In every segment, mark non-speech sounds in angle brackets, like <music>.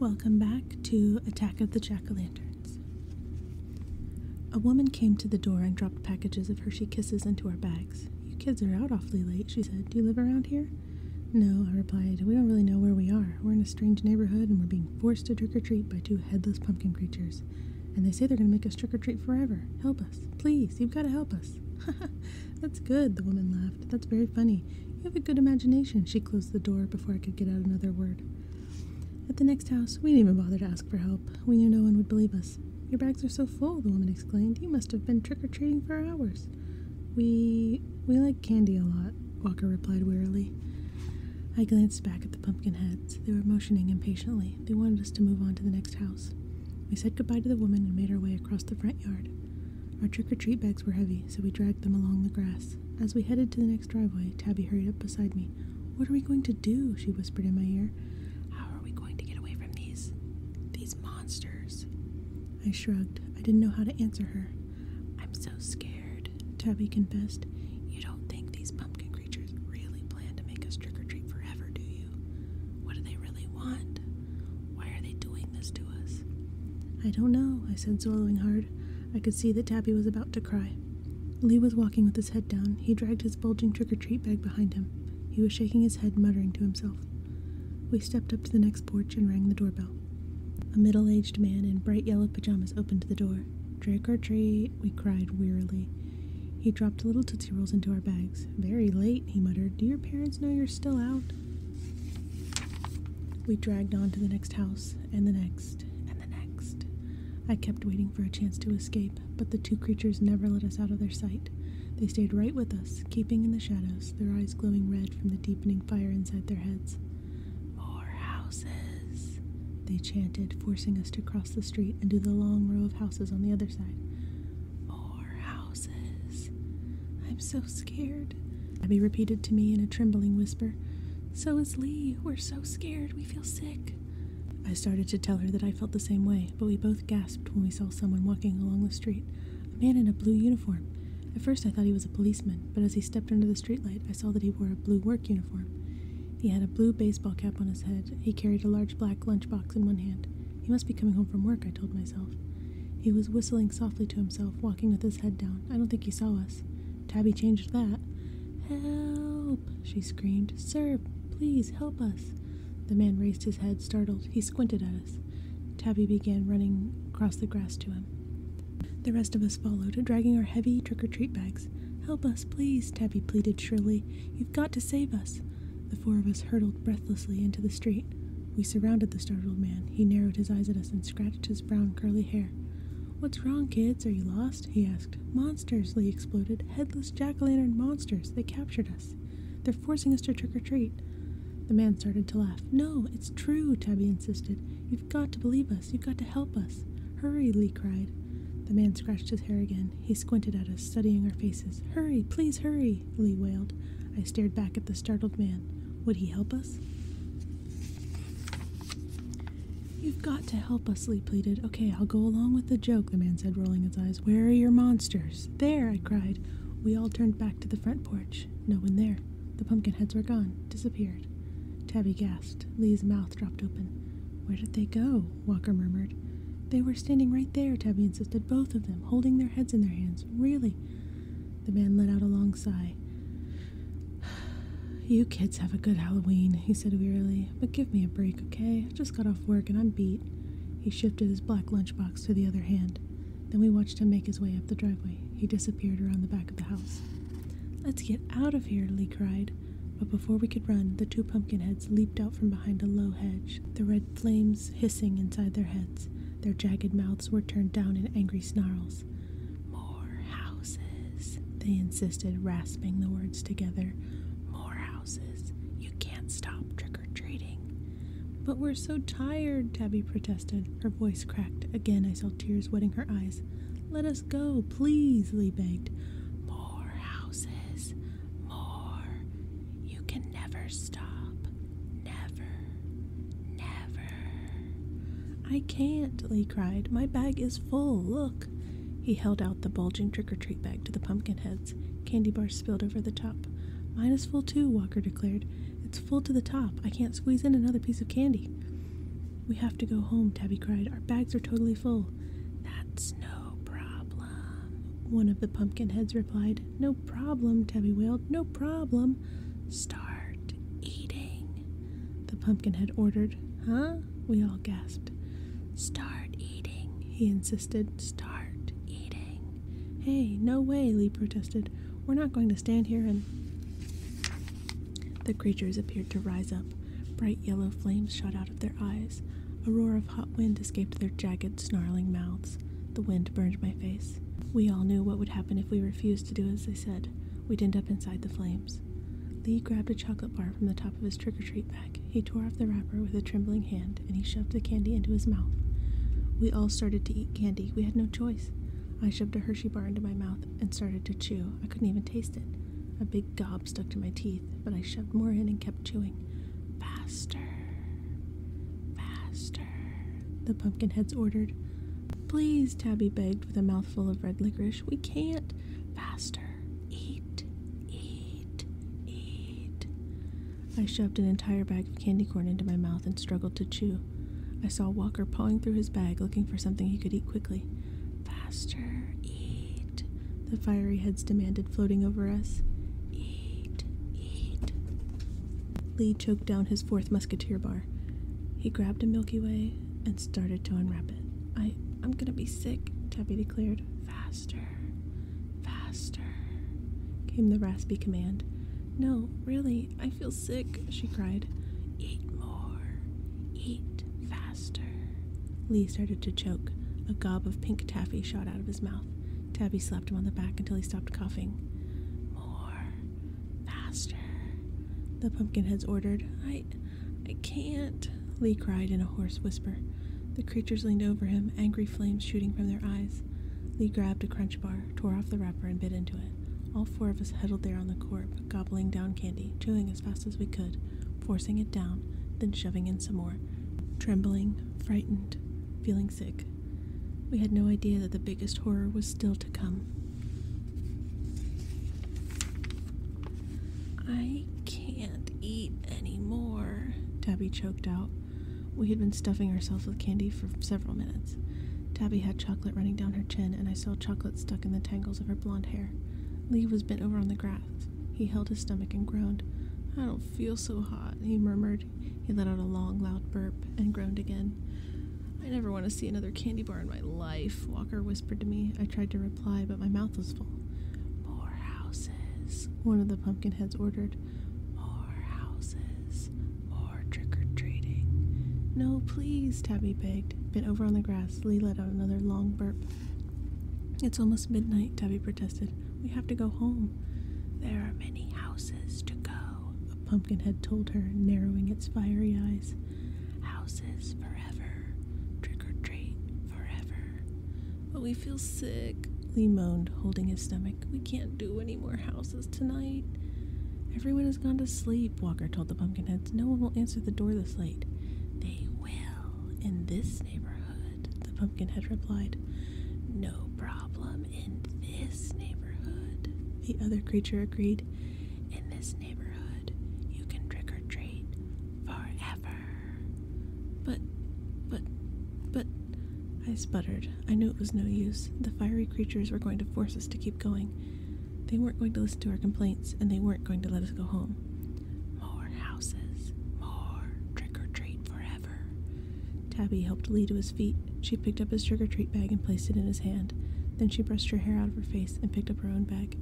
Welcome back to Attack of the Jack o' Lanterns. A woman came to the door and dropped packages of Hershey Kisses into our bags. You kids are out awfully late, she said. Do you live around here? No, I replied. We don't really know where we are. We're in a strange neighborhood and we're being forced to trick or treat by two headless pumpkin creatures. And they say they're going to make us trick or treat forever. Help us. Please, you've got to help us. "Ha <laughs> ha," That's good, the woman laughed. That's very funny. You have a good imagination. She closed the door before I could get out another word. At the next house, we didn't even bother to ask for help. We knew no one would believe us. Your bags are so full, the woman exclaimed. You must have been trick or treating for hours. We we like candy a lot, Walker replied wearily. I glanced back at the pumpkin heads. They were motioning impatiently. They wanted us to move on to the next house. We said goodbye to the woman and made our way across the front yard. Our trick or treat bags were heavy, so we dragged them along the grass. As we headed to the next driveway, Tabby hurried up beside me. What are we going to do? she whispered in my ear. How are we going to get away from these. these monsters? I shrugged. I didn't know how to answer her. I'm so scared, Tabby confessed. You don't think these pumpkin creatures really plan to make us trick or treat forever, do you? What do they really want? Why are they doing doing this to us? I don't know, I said, swallowing hard. I could see that Tabby was about to cry. Lee was walking with his head down. He dragged his bulging trick or treat bag behind him. He was shaking his head, muttering to himself. We stepped up to the next porch and rang the doorbell. A middle aged man in bright yellow pajamas opened the door. Trick or treat, we cried wearily. He dropped little Tootsie Rolls into our bags. Very late, he muttered. Do your parents know you're still out? We dragged on to the next house, and the next, and the next. I kept waiting for a chance to escape, but the two creatures never let us out of their sight. They stayed right with us, keeping in the shadows, their eyes glowing red from the deepening fire inside their heads. More houses, they chanted, forcing us to cross the street and do the long row of houses on the other side. More houses. I'm so scared. Abby repeated to me in a trembling whisper. So is Lee. We're so scared. We feel sick. I started to tell her that I felt the same way, but we both gasped when we saw someone walking along the street a man in a blue uniform. At first, I thought he was a policeman, but as he stepped under the streetlight, I saw that he wore a blue work uniform. He had a blue baseball cap on his head. He carried a large black lunchbox in one hand. He must be coming home from work, I told myself. He was whistling softly to himself, walking with his head down. I don't think he saw us. Tabby changed that. Help! she screamed. Sir, please help us. The man raised his head, startled. He squinted at us. Tabby began running across the grass to him. The rest of us followed, dragging our heavy trick or treat bags. Help us, please, Tabby pleaded shrilly. You've got to save us. The four of us hurtled breathlessly into the street. We surrounded the startled man. He narrowed his eyes at us and scratched his brown curly hair. What's wrong, kids? Are you lost? he asked. Monsters, Lee exploded. Headless jack o' lantern monsters. They captured us. They're forcing us to trick or treat. The man started to laugh. No, it's true, Tabby insisted. You've got to believe us. You've got to help us. Hurry, Lee cried. The man scratched his hair again. He squinted at us, studying our faces. Hurry, please hurry, Lee wailed. I stared back at the startled man. Would he help us? You've got to help us, Lee pleaded. Okay, I'll go along with the joke, the man said, rolling his eyes. Where are your monsters? There, I cried. We all turned back to the front porch. No one there. The pumpkin heads were gone, disappeared. Tabby gasped. Lee's mouth dropped open. Where did they go? Walker murmured. They were standing right there, Tabby insisted, both of them, holding their heads in their hands. Really? The man let out a long sigh. <sighs> You kids have a good Halloween, he said wearily, but give me a break, okay? I have just got off work and I'm beat. He shifted his black lunchbox to the other hand. Then we watched him make his way up the driveway. He disappeared around the back of the house. Let's get out of here, Lee cried. But before we could run, the two pumpkin heads leaped out from behind a low hedge, the red flames hissing inside their heads. Their jagged mouths were turned down in angry snarls more houses. They insisted, rasping the words together. More houses. You can't stop trick or treating. But we're so tired, Tabby protested. Her voice cracked. Again, I saw tears wetting her eyes. Let us go, please, Lee begged. More houses. More. You can never stop. Never, never. I can't, Lee cried. My bag is full. Look. He held out the bulging trick or treat bag to the pumpkin heads. Candy bars spilled over the top. Mine is full too, Walker declared. It's full to the top. I can't squeeze in another piece of candy. We have to go home, Tabby cried. Our bags are totally full. That's no problem, one of the pumpkin heads replied. No problem, Tabby wailed. No problem. Start eating the pumpkin had ordered. Huh? We all gasped. Start eating, he insisted. Start eating. Hey, no way, Lee protested. We're not going to stand here and. The creatures appeared to rise up. Bright yellow flames shot out of their eyes. A roar of hot wind escaped their jagged, snarling mouths. The wind burned my face. We all knew what would happen if we refused to do as they said. We'd up inside the flames. Lee grabbed a chocolate bar from the top of his trick or treat bag. He tore off the wrapper with a trembling hand and he shoved the candy into his mouth. We all started to eat candy. We had no choice. I shoved a Hershey bar into my mouth and started to chew. I couldn't even taste it. A big gob stuck to my teeth, but I shoved more in and kept chewing. Faster. Faster. The pumpkin heads ordered. Please, Tabby begged with a mouthful of red licorice. We can't. Faster. Eat. Eat. Eat. I shoved an entire bag of candy corn into my mouth and struggled to chew. I saw Walker pawing through his bag looking for something he could eat quickly. Faster. Eat. The fiery heads demanded, floating over us. Eat. Eat. Lee choked down his fourth musketeer bar. He grabbed a Milky Way and started to unwrap it. I I'm gonna be sick, Tabby declared. Faster, faster, came the raspy command. No, really, I feel sick, she cried. Eat more, eat faster. Lee started to choke. A gob of pink taffy shot out of his mouth. Tabby slapped him on the back until he stopped coughing. More, Faster, the pumpkinheads ordered. I. I can't, Lee cried in a hoarse whisper. The creatures leaned over him, angry flames shooting from their eyes. Lee grabbed a crunch bar, tore off the wrapper, and bit into it. All four of us huddled there on the corp, gobbling down candy, chewing as fast as we could, forcing it down, then shoving in some more, trembling, frightened, feeling sick. We had no idea that the biggest horror was still to come. I can't eat anymore, Tabby choked out. We had been stuffing ourselves with candy for several minutes. Tabby had chocolate running down her chin, and I saw chocolate stuck in the tangles of her blonde hair. Lee was bent over on the grass. He held his stomach and groaned. I don't feel so hot, he murmured. He let out a long, loud burp and groaned again. I never want to see another candy bar in my life, Walker whispered to me. I tried to reply, but my mouth was full. More houses, one of the pumpkin heads ordered. More houses, more trick or treating. No, please, Tabby begged. Bent over on the grass, Lee let out another long burp. It's almost midnight, Tabby protested. We have to go home. There are many houses to go now, a pumpkin told her, narrowing its fiery eyes. Houses forever. Trick or treat forever. But we feel sick, Lee moaned, holding his stomach. We can't do any more houses tonight. Everyone has gone to sleep, Walker told the pumpkinheads. No one will answer the door this late. They will, in this neighborhood, the pumpkinhead replied. No problem in this neighborhood, the other creature agreed. In this neighborhood, you can trick or treat forever. But, but, but, I sputtered. I knew it was no use. The fiery creatures were going to force us to keep going. They weren't going to listen to our complaints, and they weren't going to let us go home. More houses, more trick or treat forever. Tabby helped Lee to his feet. She picked up his trick treat bag and placed it in his hand. Then she brushed her hair out of her face and picked up her own bag.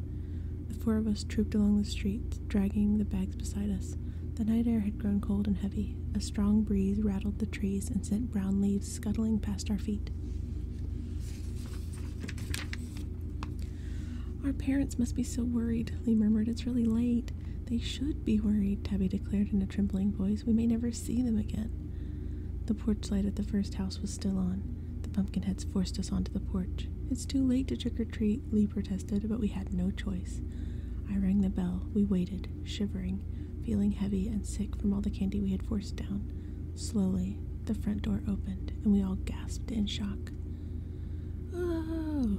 The four of us trooped along the street, dragging the bags beside us. The night air had grown cold and heavy. A strong breeze rattled the trees and sent brown leaves scuttling past our feet. Our parents must be so worried, Lee murmured. It's really late. They should be worried, Tabby declared in a trembling voice we may never see them again. The porch light at the first house was still on. The pumpkinheads forced us onto the porch. It's too late to trick or treat, Lee protested, but we had no choice. I rang the bell. We waited, shivering, feeling heavy and sick from all the candy we had forced down. Slowly, the front door opened, and we all gasped in shock. Oh!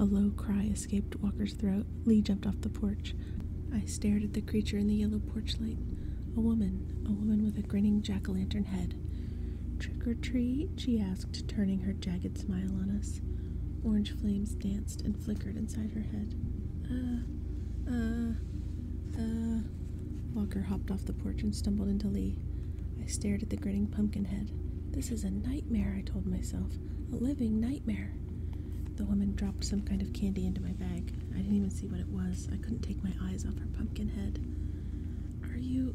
A low cry escaped Walker's throat. Lee jumped off the porch. I stared at the creature in the yellow porch light. A woman, a woman with a grinning jack o' lantern head. Trick or treat? she asked, turning her jagged smile on us. Orange flames danced and flickered inside her head. Uh, uh, uh. Walker hopped off the porch and stumbled into Lee. I stared at the grinning pumpkin head. This is a nightmare, I told myself. A living nightmare. The woman dropped some kind of candy into my bag. I didn't even see what it was. I couldn't take my eyes off her pumpkin head. Are you.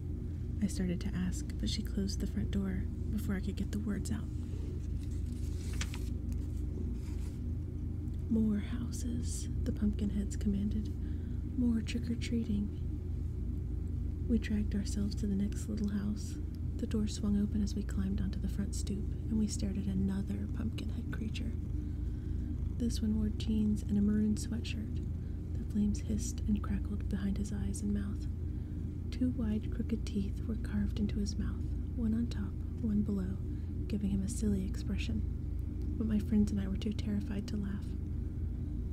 I started to ask, but she closed the front door before I could get the words out. More houses, the pumpkin heads commanded. More trick or treating. We dragged ourselves to the next little house. The door swung open as we climbed onto the front stoop, and we stared at another pumpkin head creature. This one wore jeans and a maroon sweatshirt. The flames hissed and crackled behind his eyes and mouth. Two wide, crooked teeth were carved into his mouth, one on top, one below, giving him a silly expression. But my friends and I were too terrified to laugh.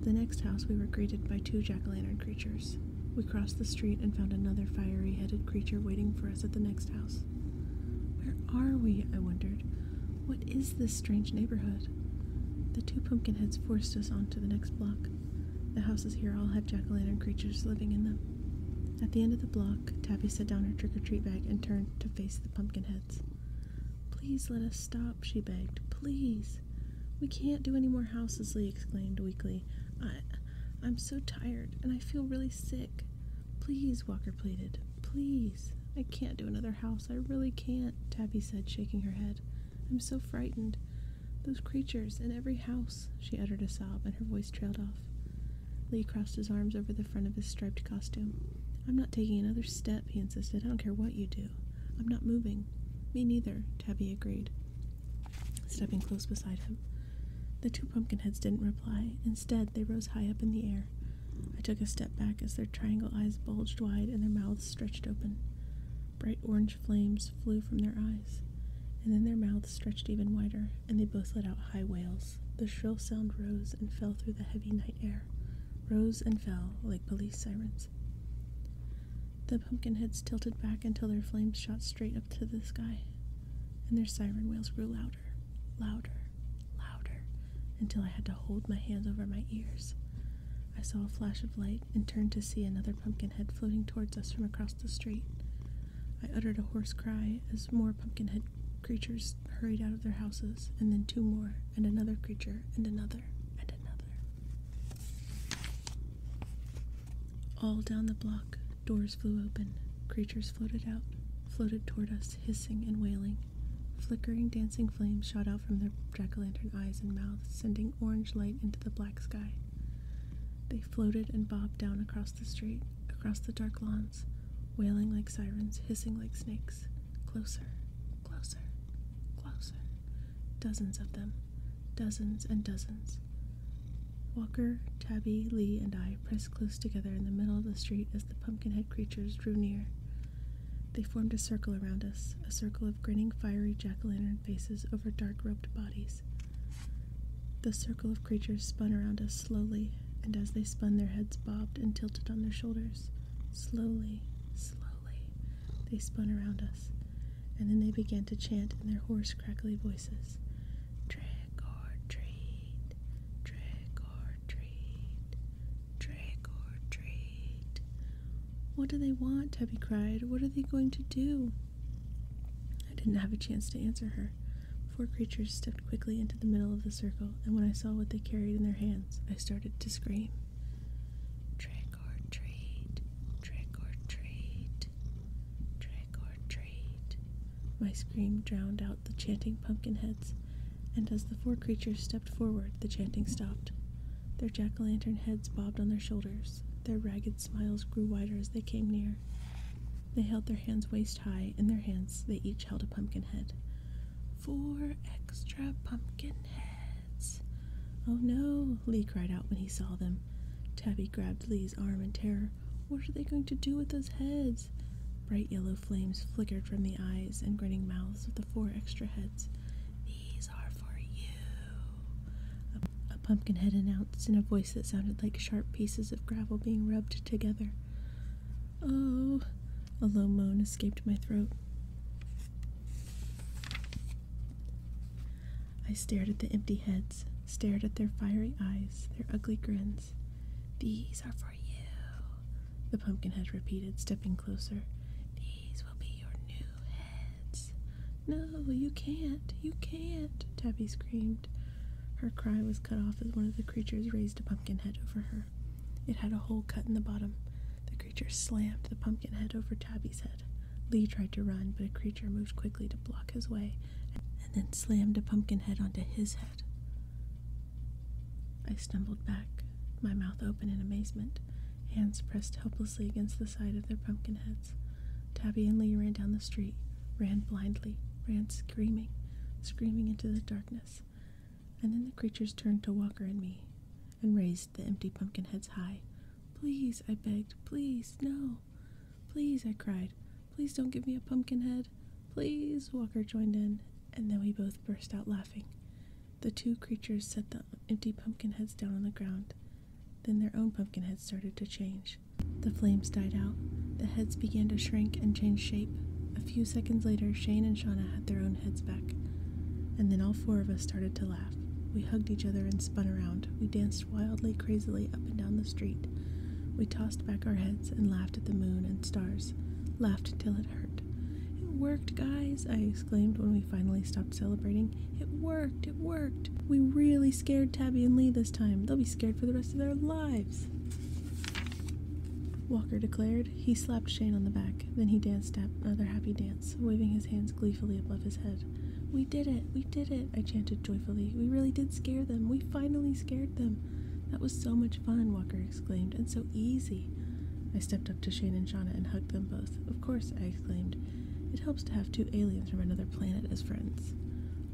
The next house, we were greeted by two jack o' lantern creatures. We crossed the street and found another fiery headed creature waiting for us at the next house. Where are we? I wondered. What is this strange neighborhood? The two pumpkin heads forced us on to the next block. The houses here all have jack o' lantern creatures living in them. At the end of the block, Tabby set down her trick or treat bag and turned to face the pumpkin heads. Please let us stop, she begged. Please. We can't do any more houses, Lee exclaimed weakly. I, I'm so tired and I feel really sick. Please, Walker pleaded. Please. I can't do another house. I really can't, Tabby said, shaking her head. I'm so frightened. Those creatures in every house, she uttered a sob, and her voice trailed off. Lee crossed his arms over the front of his striped costume. I'm not taking another step, he insisted. I don't care what you do. I'm not moving. Me neither, Tabby agreed, stepping close beside him. The two pumpkinheads didn't reply. Instead, they rose high up in the air. I took a step back as their triangle eyes bulged wide and their mouths stretched open. Bright orange flames flew from their eyes, and then their mouths stretched even wider, and they both let out high wails. The shrill sound rose and fell through the heavy night air, rose and fell like police sirens. The pumpkin heads tilted back until their flames shot straight up to the sky, and their siren wails grew louder louder, louder, louder, until I had to hold my hands over my ears. I saw a flash of light and turned to see another pumpkinhead floating towards us from across the street. I uttered a hoarse cry as more pumpkinhead creatures hurried out of their houses, and then two more, and another creature, and another, and another. All down the block, doors flew open, creatures floated out, floated toward us, hissing and wailing. Flickering, dancing flames shot out from their jack o' lantern eyes and mouths, sending orange light into the black sky. They floated and bobbed down across the street, across the dark lawns, wailing like sirens, hissing like snakes. Closer, closer, closer. Dozens of them, dozens and dozens. Walker, Tabby, Lee, and I pressed close together in the middle of the street as the pumpkinhead creatures drew near. They formed a circle around us, a circle of grinning, fiery jack o' lantern faces over dark robed bodies. The circle of creatures spun around us slowly, and as they spun, their heads bobbed and tilted on their shoulders. Slowly, slowly, they spun around us, and then they began to chant in their hoarse, crackly voices Trick or treat, trick or treat, trick or treat. What do they want? Tubby cried. What are they going to do? I didn't have a chance to answer her. Four creatures stepped quickly into the middle of the circle, and when I saw what they carried in their hands, I started to scream. Trick or treat, trick or treat, trick or treat. My scream drowned out the chanting pumpkin heads, and as the four creatures stepped forward, the chanting stopped. Their jack o' lantern heads bobbed on their shoulders. Their ragged smiles grew wider as they came near. They held their hands waist high. In their hands, they each held a pumpkin head. Four extra pumpkin heads. Oh no, Lee cried out when he saw them. Tabby grabbed Lee's arm in terror. What are they going to do with those heads? Bright yellow flames flickered from the eyes and grinning mouths of the four extra heads. These are for you, a, a pumpkin head announced in a voice that sounded like sharp pieces of gravel being rubbed together. Oh, a low moan escaped my throat. I stared at the empty heads, stared at their fiery eyes, their ugly grins. These are for you, the pumpkinhead repeated, stepping closer. These will be your new heads. No, you can't, you can't, Tabby screamed. Her cry was cut off as one of the creatures raised a pumpkin head over her. It had a hole cut in the bottom. The creature slammed the pumpkin head over Tabby's head. Lee tried to run, but a creature moved quickly to block his way and then slammed a pumpkin head onto his head. I stumbled back, my mouth open in amazement, hands pressed helplessly against the side of their pumpkin heads. Tabby and Lee ran down the street, ran blindly, ran screaming, screaming into the darkness. And then the creatures turned to Walker and me and raised the empty pumpkin heads high. Please, I begged, please, no. Please, I cried, Please don't give me a pumpkin head. Please, Walker joined in, and then we both burst out laughing. The two creatures set the empty pumpkin heads down on the ground. Then their own pumpkin heads started to change. The flames died out. The heads began to shrink and change shape. A few seconds later, Shane and Shauna had their own heads back. And then all four of us started to laugh. We hugged each other and spun around. We danced wildly, crazily up and down the street. We tossed back our heads and laughed at the moon and stars. Laughed till it hurt. It worked, guys, I exclaimed when we finally stopped celebrating. It worked, it worked. We really scared Tabby and Lee this time. They'll be scared for the rest of their lives. Walker declared. He slapped Shane on the back. Then he danced another happy dance, waving his hands gleefully above his head. We did it! We did it! I chanted joyfully. We really did scare them. We finally scared them. That was so much fun, Walker exclaimed, and so easy. I stepped up to Shane and Shauna and hugged them both. Of course, I exclaimed. It helps to have two aliens from another planet as friends.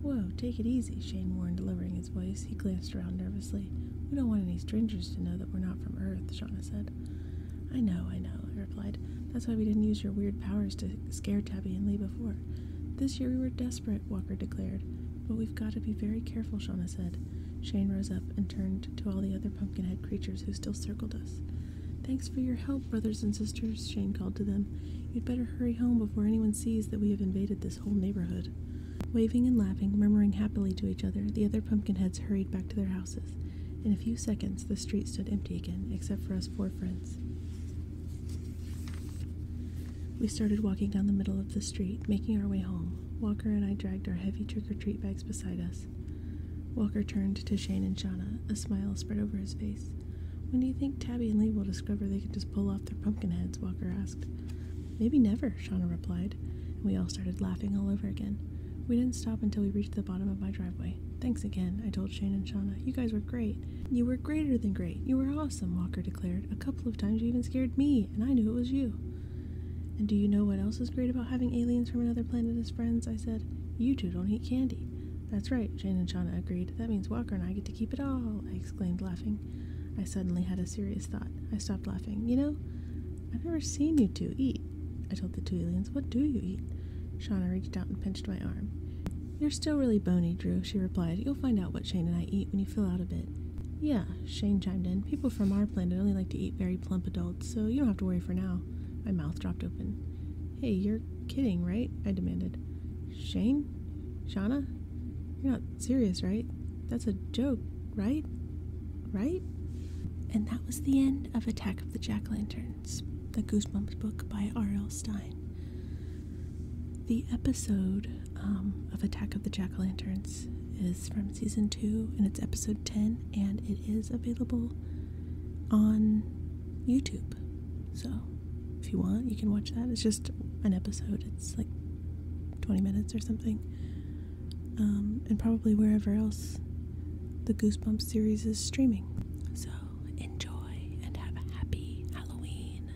Whoa, take it easy, Shane warned, lowering his voice. He glanced around nervously. We don't want any strangers to know that we're not from Earth, Shauna said. I know, I know, I replied. That's why we didn't use your weird powers to scare Tabby and Lee before. This year we were desperate. Walker declared. But we've got to be very careful, Shauna said. Shane rose up and turned to all the other pumpkinhead creatures who still circled us. Thanks for your help, brothers and sisters, Shane called to them. You'd better hurry home before anyone sees that we have invaded this whole neighborhood. Waving and laughing, murmuring happily to each other, the other pumpkinheads hurried back to their houses. In a few seconds, the street stood empty again, except for us four friends. We started walking down the middle of the street, making our way home. Walker and I dragged our heavy trick or treat bags beside us. Walker turned to Shane and Shauna, a smile spread over his face. When do you think Tabby and Lee will discover they could just pull off their pumpkin heads? Walker asked. Maybe never, Shauna replied, and we all started laughing all over again. We didn't stop until we reached the bottom of my driveway. Thanks again, I told Shane and Shauna. You guys were great. You were greater than great. You were awesome, Walker declared. A couple of times you even scared me, and I knew it was you. And do you know what else is great about having aliens from another planet as friends? I said. You two don't eat candy. That's right, Jane and Shauna agreed. That means Walker and I get to keep it all, I exclaimed, laughing. I suddenly had a serious thought. I stopped laughing. You know, I've never seen you two eat. I told the two aliens, What do you eat? Shauna reached out and pinched my arm. You're still really bony, Drew, she replied. You'll find out what Shane and I eat when you fill out a bit. Yeah, Shane chimed in. People from our planet only like to eat very plump adults, so you don't have to worry for now. My mouth dropped open. Hey, you're kidding, right? I demanded. Shane? Shauna? You're not serious, right? That's a joke, right? Right? And that was the end of Attack of the Jack Lanterns, the Goosebumps book by R.L. Stein. The episode um, of Attack of the Jack O' Lanterns is from season two, and it's episode 10, and it is available on YouTube. So if you want, you can watch that. It's just an episode, it's like 20 minutes or something. Um, and probably wherever else the Goosebumps series is streaming. So enjoy and have a happy Halloween.